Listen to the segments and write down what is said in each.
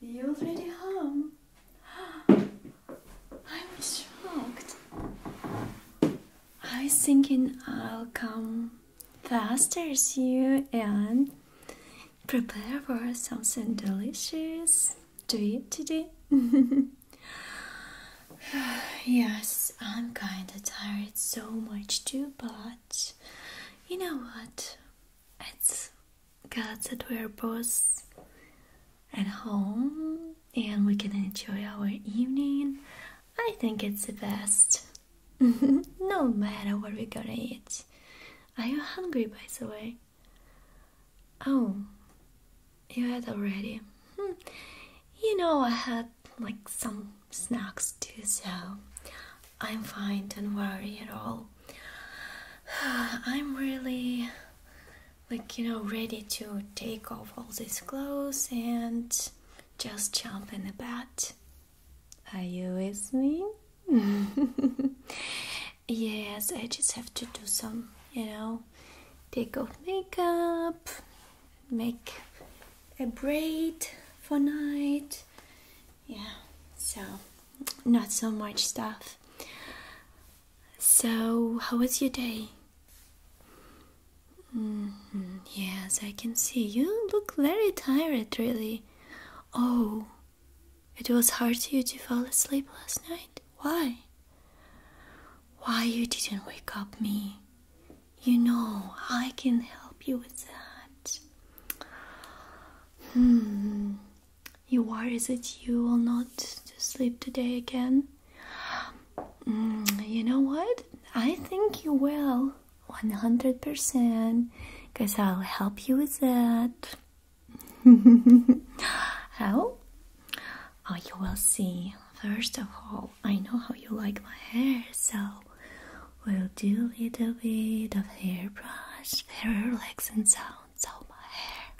You are already home? I'm shocked. I was thinking I'll come faster as you and prepare for something delicious to eat today. yes, I'm kinda tired so much too, but you know what? it's good that we're both at home and we can enjoy our evening. I think it's the best. no matter what we're gonna eat. Are you hungry, by the way? Oh, you had already. Hmm. You know, I had like some snacks too, so I'm fine, don't worry at all. I'm really like you know ready to take off all these clothes and just jump in the bed. Are you with me? yes, I just have to do some, you know, take off makeup, make a braid for night yeah so not so much stuff so how was your day mm-hmm, yes i can see you look very tired really oh it was hard for you to fall asleep last night why why you didn't wake up me you know i can help you with that Hmm. You Is it you will not sleep today again? Hmm, you know what? I think you will. 100%. Because I'll help you with that. how? Oh, you will see. First of all, I know how you like my hair, so We'll do a little bit of hairbrush, very relaxing sounds so my hair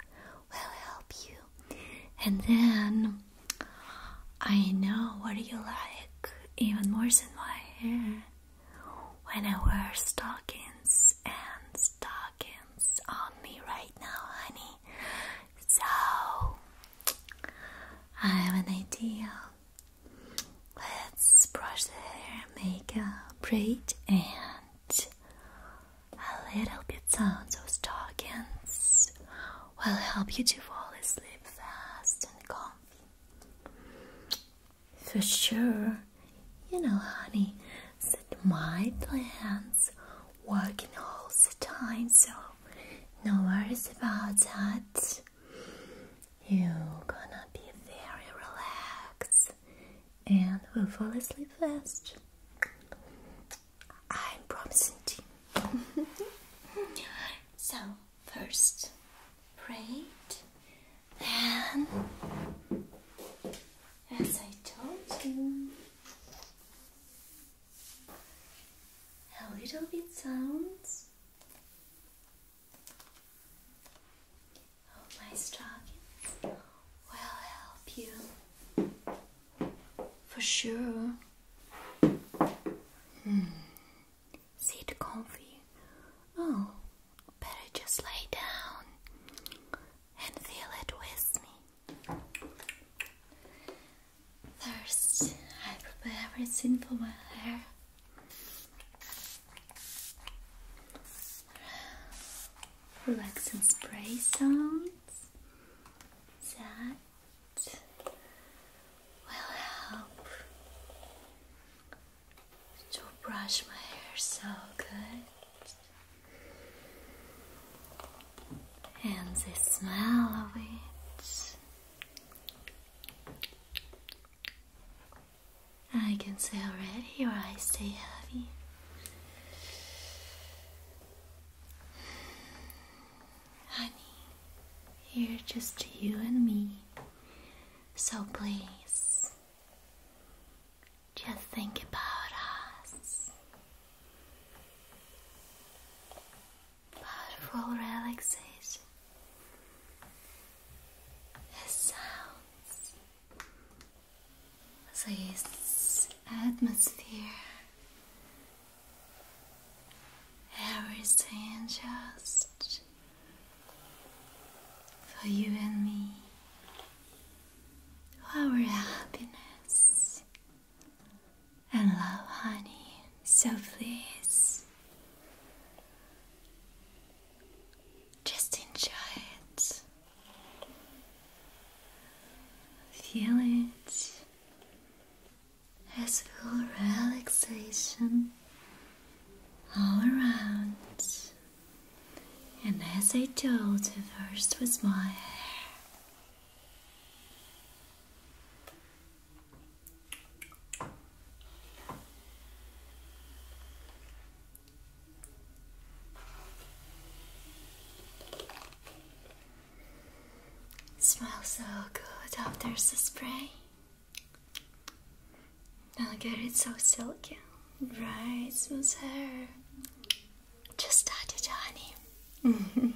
will help you. And then I know what you like even more than my hair. When I wear stockings and stockings on me right now, honey. So I have an idea Let's brush the hair, make makeup, braid, and a little bit sounds of stockings will help you to fall asleep fast and comfy. For sure, you know, honey, that my plans working all the time, so no worries about that. You're gonna be very relaxed and we will fall asleep fast. I'm promising to you. so, first, braid, and as I told you, a little bit sounds my stockings will help you for sure. Hmm. Sit comfy. Oh, better just lay down and feel it with me. First, I prepare everything for my hair relaxing spray sounds that will help to brush my hair so good and the smell of it I can see already your eyes stay heavy. Honey, You're just you and me. So please, just think about us powerful relaxation as sounds, this atmosphere, everything just for you and me, our happiness and love, honey. So please just enjoy it. Feel it as full relaxation all around. And as I told you first was my hair, it smells so good after the spray. Look at it so silky, right, smooth hair. Just touch it, honey.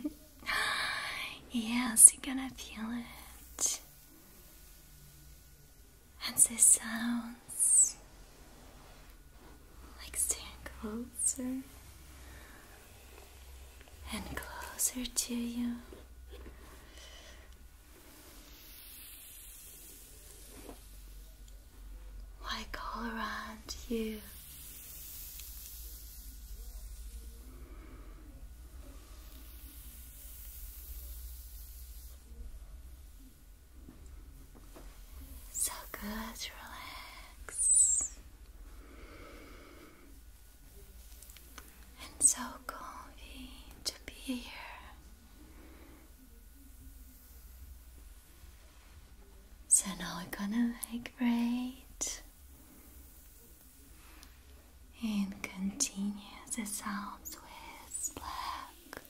yes, you're gonna feel it. And this sounds like staying closer and closer to you. Like all around you. So good, relax. And so comfy to be here. So now we're gonna vibrate and continue the sounds with black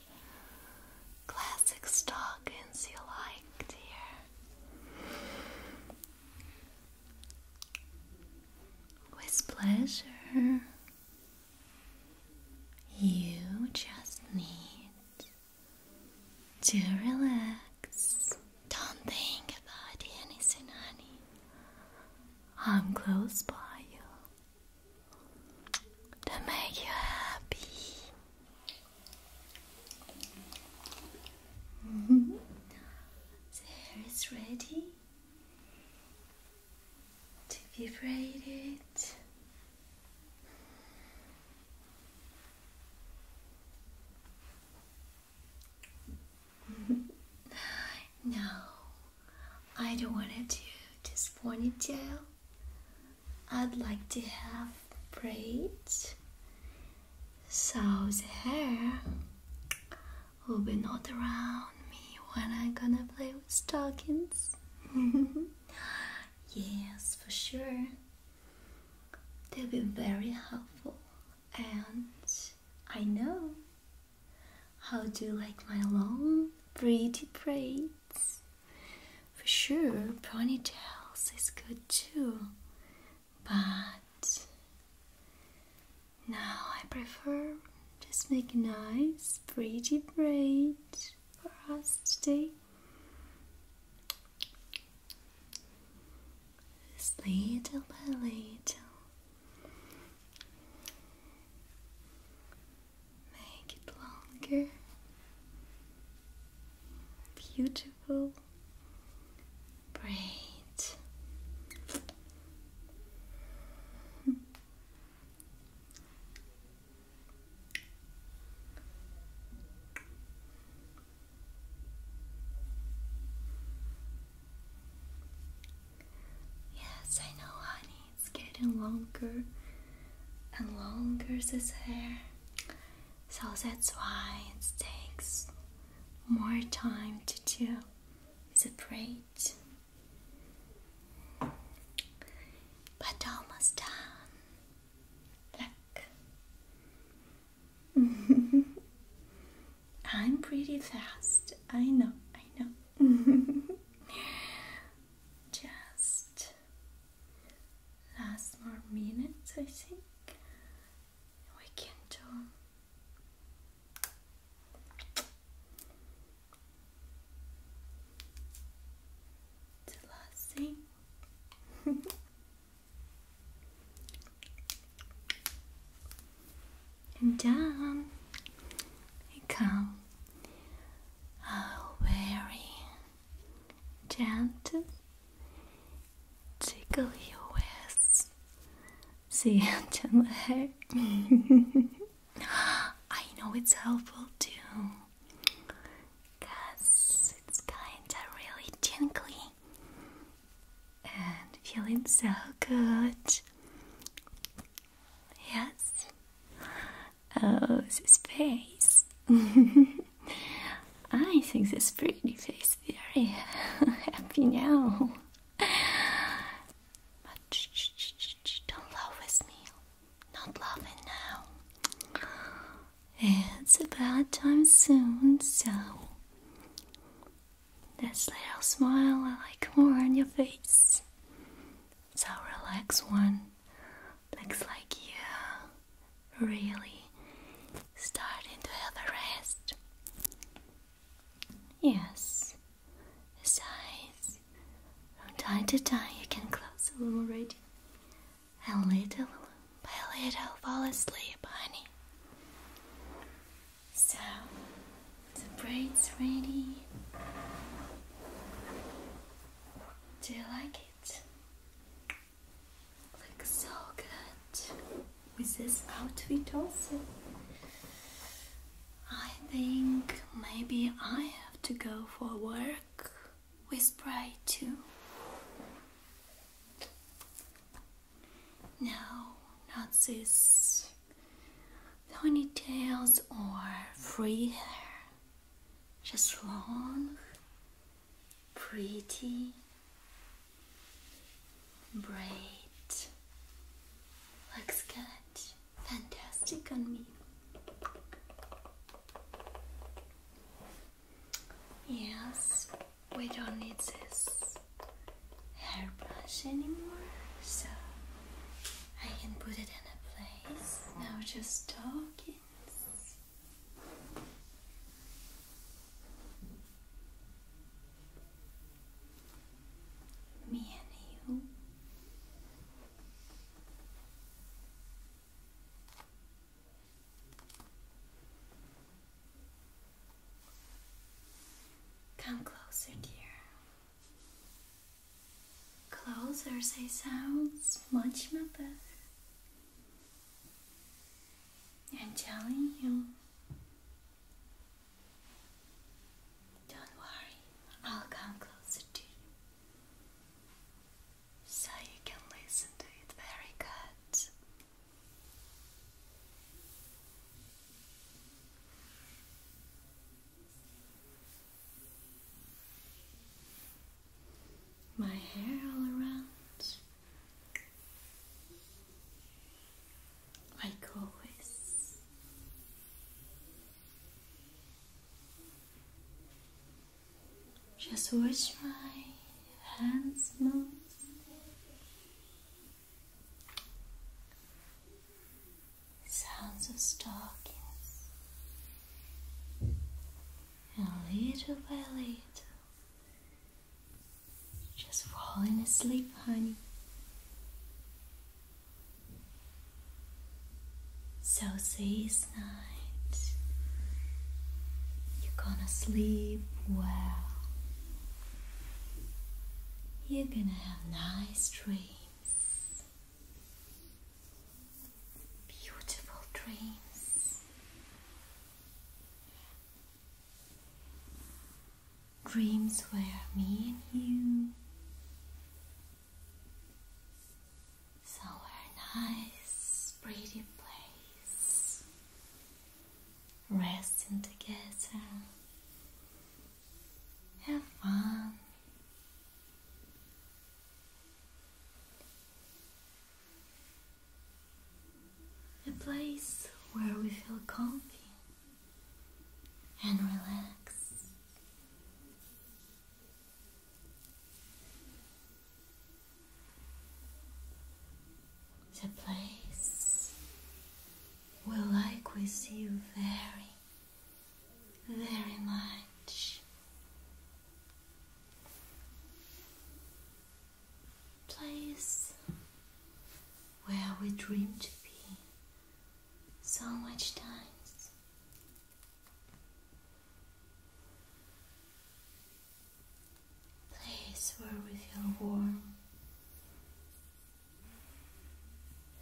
classic stockings you like, dear. With pleasure, you just need to relax. Don't think about anything, honey. I'm close by you to make you happy. The hair is ready to be braided no, I don't want to do this ponytail. I'd like to have braids. So the hair will be not around me when I'm gonna play with stockings. yes, for sure. They'll be very helpful, and I know how do you like my long, pretty braids? For sure, ponytails is good too, but now I prefer just make nice, pretty braid for us today. Just little by little, Make it longer, beautiful, great. Yes, I know, honey. It's getting longer and longer, this hair. So that's why it takes more time to do the braid. But almost done. Look. I'm pretty fast. I know, I know. Just last more minutes, I think we can do the last thing. And down and come, oh, very gentle, tickle you with the gentle hair. I know it's helpful too, it's kinda really tingly and feeling so good. Yes. Oh, this face. I think this pretty face very happy now. But don't laugh with me. Not laughing now. It's about time soon, so this little smile I like more on your face. So relaxed one. Looks like you really starting to have a rest. Yes. eyes. from time to time you can close the room already. And little by little fall asleep, honey. So the braid's ready. Do you like it? Looks so good with this outfit also. I think maybe I have to go for work with braid too. No, not this ponytails or free hair. Just long, pretty, bright. Looks good. Fantastic on me. Yes we don't need this hairbrush anymore, so I can put it in a place. Now just talking. Me and you. Come closer, dear. Closer, say sounds much more better. And am telling you. Don't worry, I'll come closer to you. So you can listen to it very good. My hair all around. Like always. Just watch my hands move sounds of stockings, and little by just falling asleep, honey. So this night, you're gonna sleep well. You're gonna have nice dreams, beautiful dreams, dreams where me and you somewhere nice, pretty place resting together, have fun. A place where we feel comfy and relaxed. The place will likewise you very, very much. Place where we dream to be so much times place where we feel warm,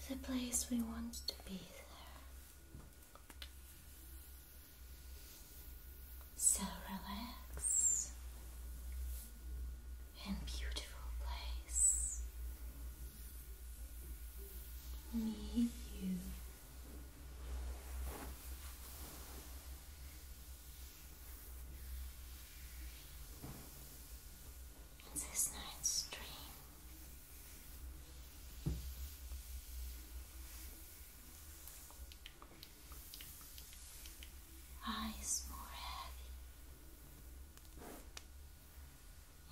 the place we want to be there. So relax and beautiful place. Meet you in this night's dream. Eyes more heavy,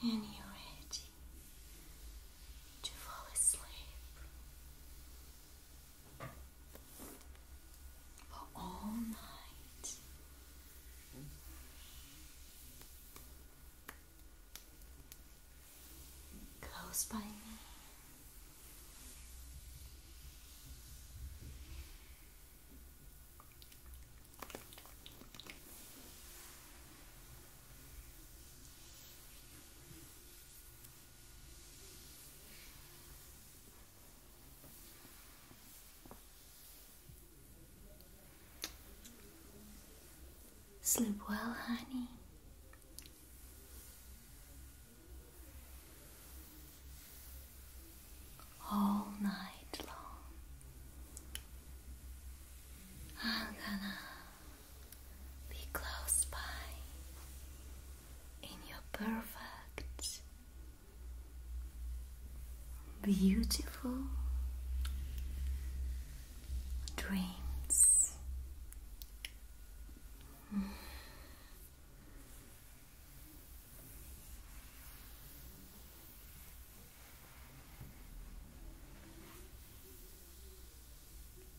and you're ready to fall asleep all night. Close by me. Sleep well, honey. All night long, I'm gonna be close by in your perfect, beautiful dreams.